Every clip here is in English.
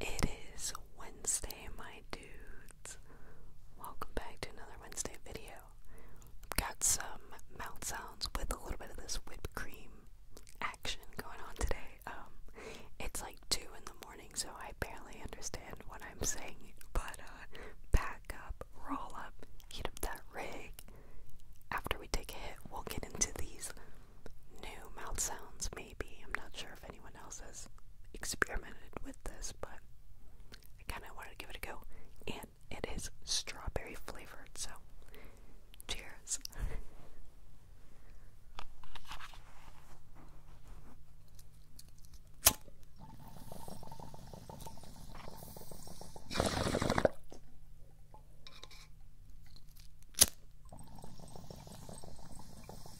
It is Wednesday, my dudes. Welcome back to another Wednesday video. I've got some mouth sounds with a little bit of this whipped cream action going on today. Um, it's like 2 in the morning, so I barely understand what I'm saying, but uh, pack up, roll up, heat up that rig. After we take a hit, we'll get into these new mouth sounds made I'm not sure if anyone else has experimented with this, but I kind of wanted to give it a go. And it is strawberry flavored, so cheers.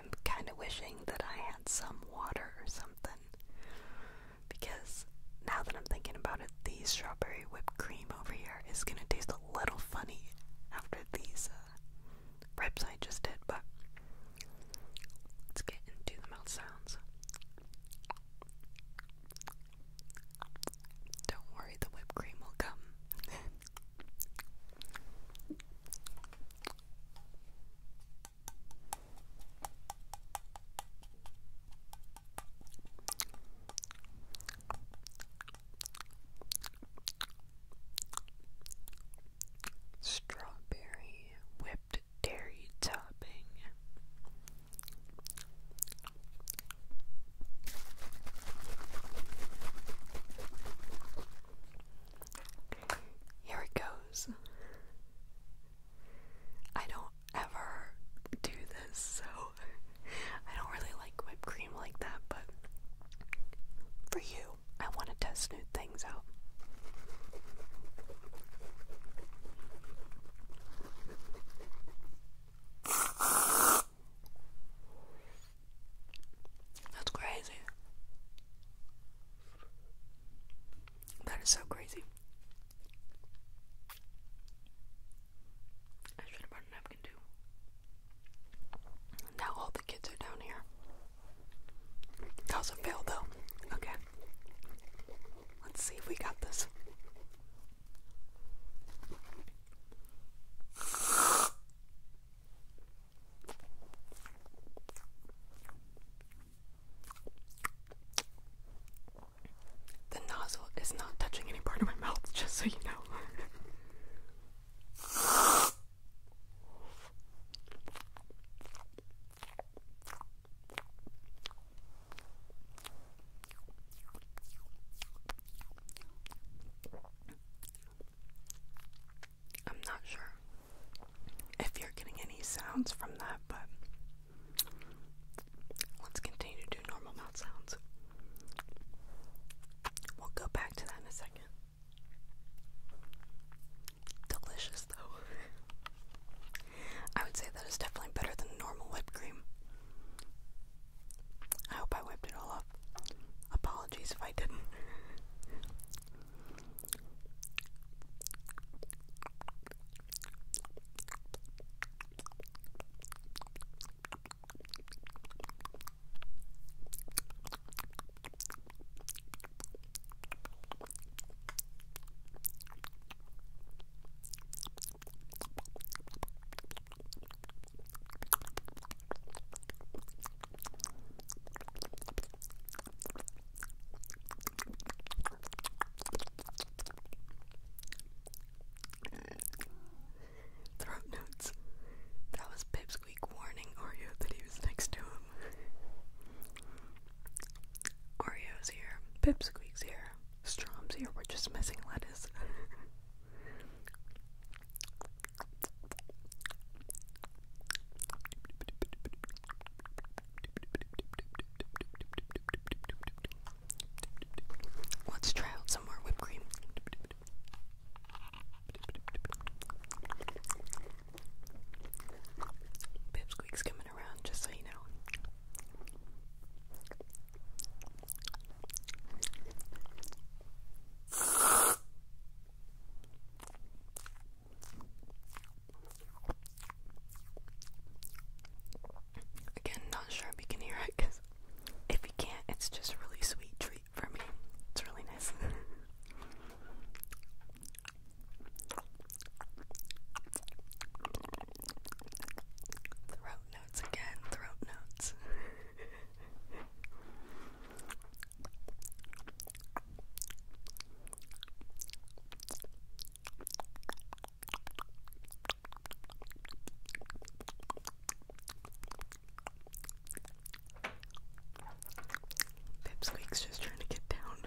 I'm kind of wishing that I had some water or something. Because now that I'm thinking about it, the strawberry whipped cream over here is gonna taste a little funny after these uh, I just did, but let's get into the mouth sounds. Don't worry, the whipped cream will come. Strawberry whipped dairy topping. Here it goes. I don't ever do this, so I don't really like whipped cream like that, but for you, I want to test new things out. That's crazy. That is so crazy. I should have brought a napkin too. Now all the kids are down here. That was a fail though. Okay. Let's see if we got this. The nozzle is not touching any part of my mouth, just so you know. I'm not sure if you're getting any sounds from that, but let's continue to do normal mouth sounds. We'll go back to that in a second. Delicious though. I would say that is definitely better than normal whipped cream. I hope I whipped it all up. Apologies if I didn't. Throat notes. That was Pipsqueak warning Oreo that he was next to him. Oreo's here. Pipsqueak's here. Strom's here. We're just missing lettuce. Let's try out some more whipped cream. Pipsqueak's coming around, just so you know. Again, not sure if you can hear it if you can't, it's just a really sweet treat for me. It's really nice. throat notes again, throat notes. Pipsqueak's just trying to get down.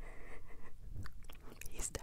He's down.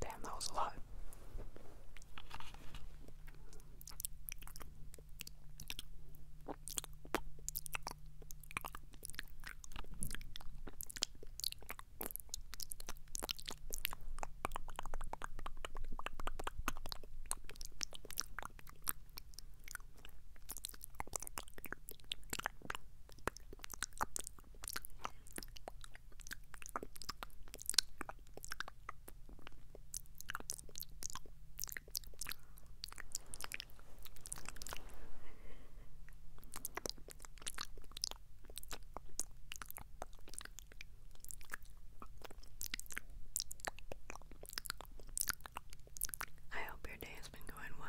Damn, that was a lot. I hope your day has been going well.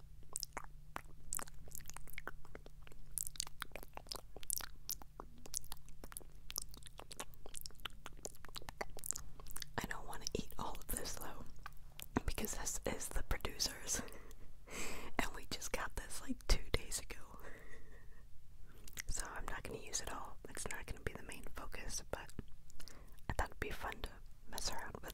I don't want to eat all of this though, because this is the producers, and we just got this like two days ago. so I'm not going to use it all. It's not going to be the main focus, but I thought it'd be fun to mess around with.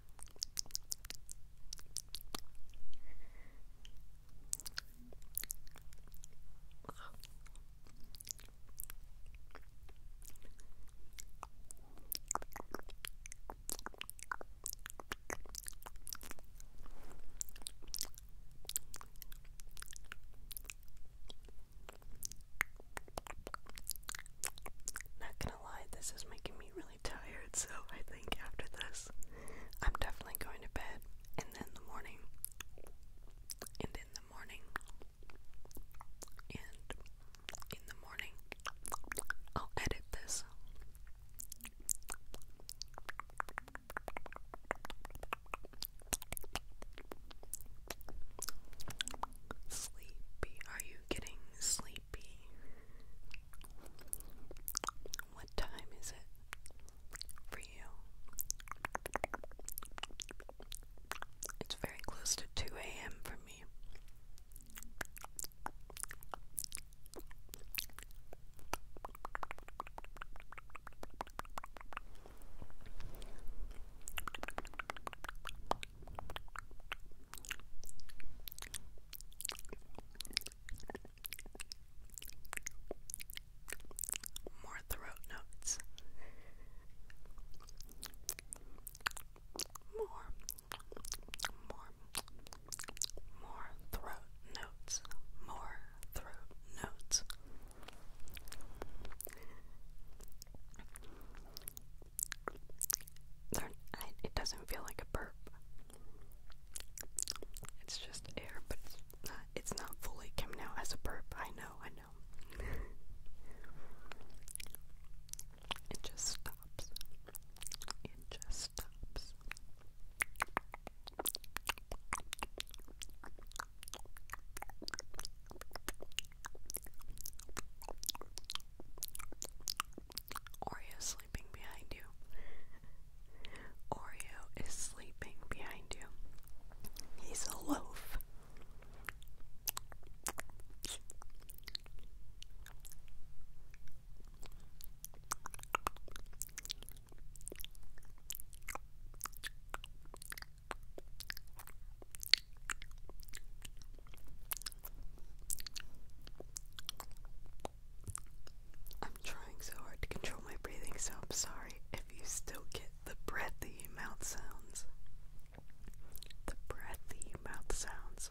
Not gonna lie, this is making me really tired, so I think after this, I'm definitely going to bed, and then in the morning, and in the morning, and in the morning, I'll edit this. Sleepy, are you getting sleepy? What time is it for you? It's very close to 2 a.m. for me. More throat notes. More, more, more throat notes. More throat notes. it doesn't feel like a burp. It's just air, but it's not, it's not fully Kim now as a burp. I know, I know. it just stops. It just stops. Oreo sleeping behind you. Oreo is sleeping behind you. He's a loaf. I'm trying so hard to control my breathing, so I'm sorry if you still get the breathy mouth sounds. The breathy mouth sounds.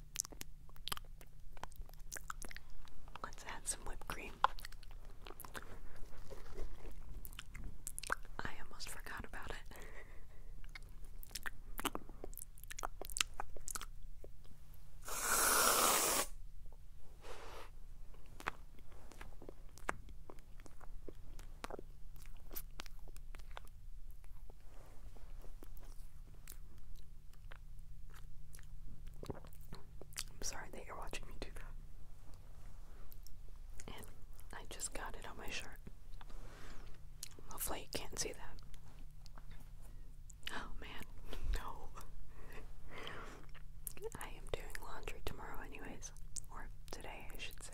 Let's add some whipped cream. I almost forgot about it. I'm sorry that you're watching me do that. I just got it on my shirt. Hopefully, you can't see that. Oh man, no. I am doing laundry tomorrow, anyways. Or today, I should say.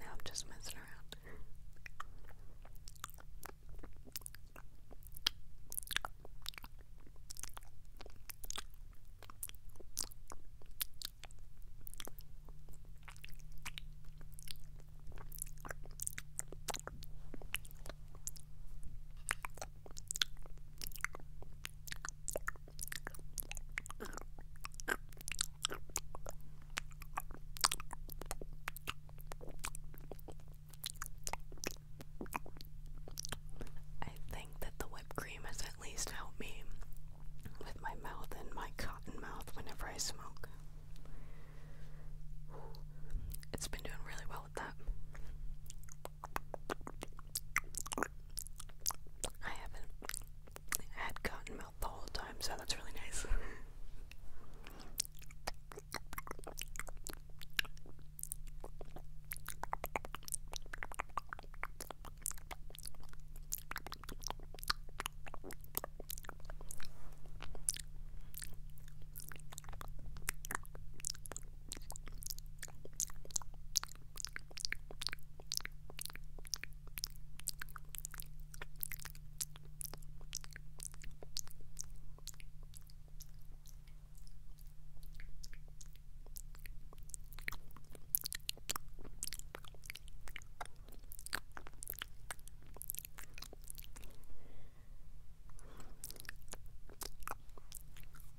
No, I'm just messing around. I think that the whipped cream has at least helped me with my mouth and my cotton mouth whenever I smoke. It's been doing really well with that. I haven't I had mouth the whole time, so that's really nice.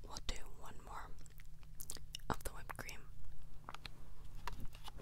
We'll do one more of the whipped cream.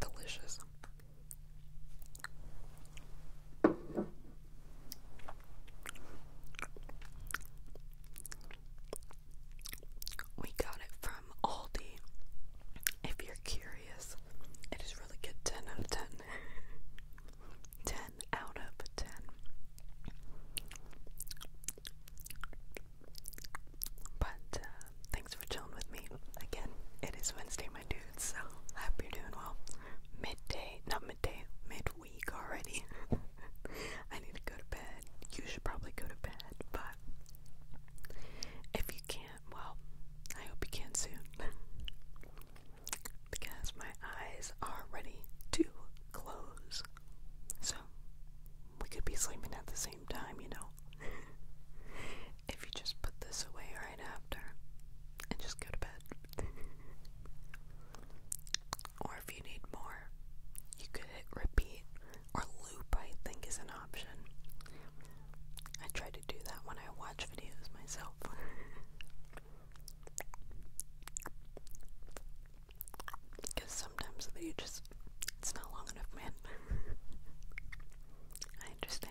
Delicious. We got it from Aldi. If you're curious, it is really good. 10 out of 10. But uh, thanks for chilling with me. Again, it is Wednesday, my dudes, so I hope you're doing well. Midday, not midday, midweek already. I need to go to bed. You should probably go to bed, but if you can't, well, I hope you can soon. because my eyes are ready to close. So, we could be sleeping at the same time, you know? if you just put this away right after and just go to bed. or if you need more, you could hit repeat or loop, I think, is an option. I try to do that when I watch videos myself. Because sometimes the video just, it's not long enough, man. I understand.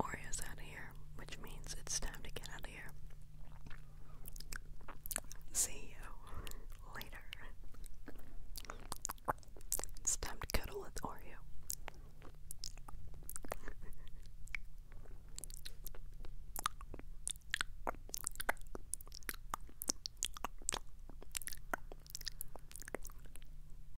Oreo's out of here, which means it's time to get out of here. See you later. It's time to cuddle with Oreo.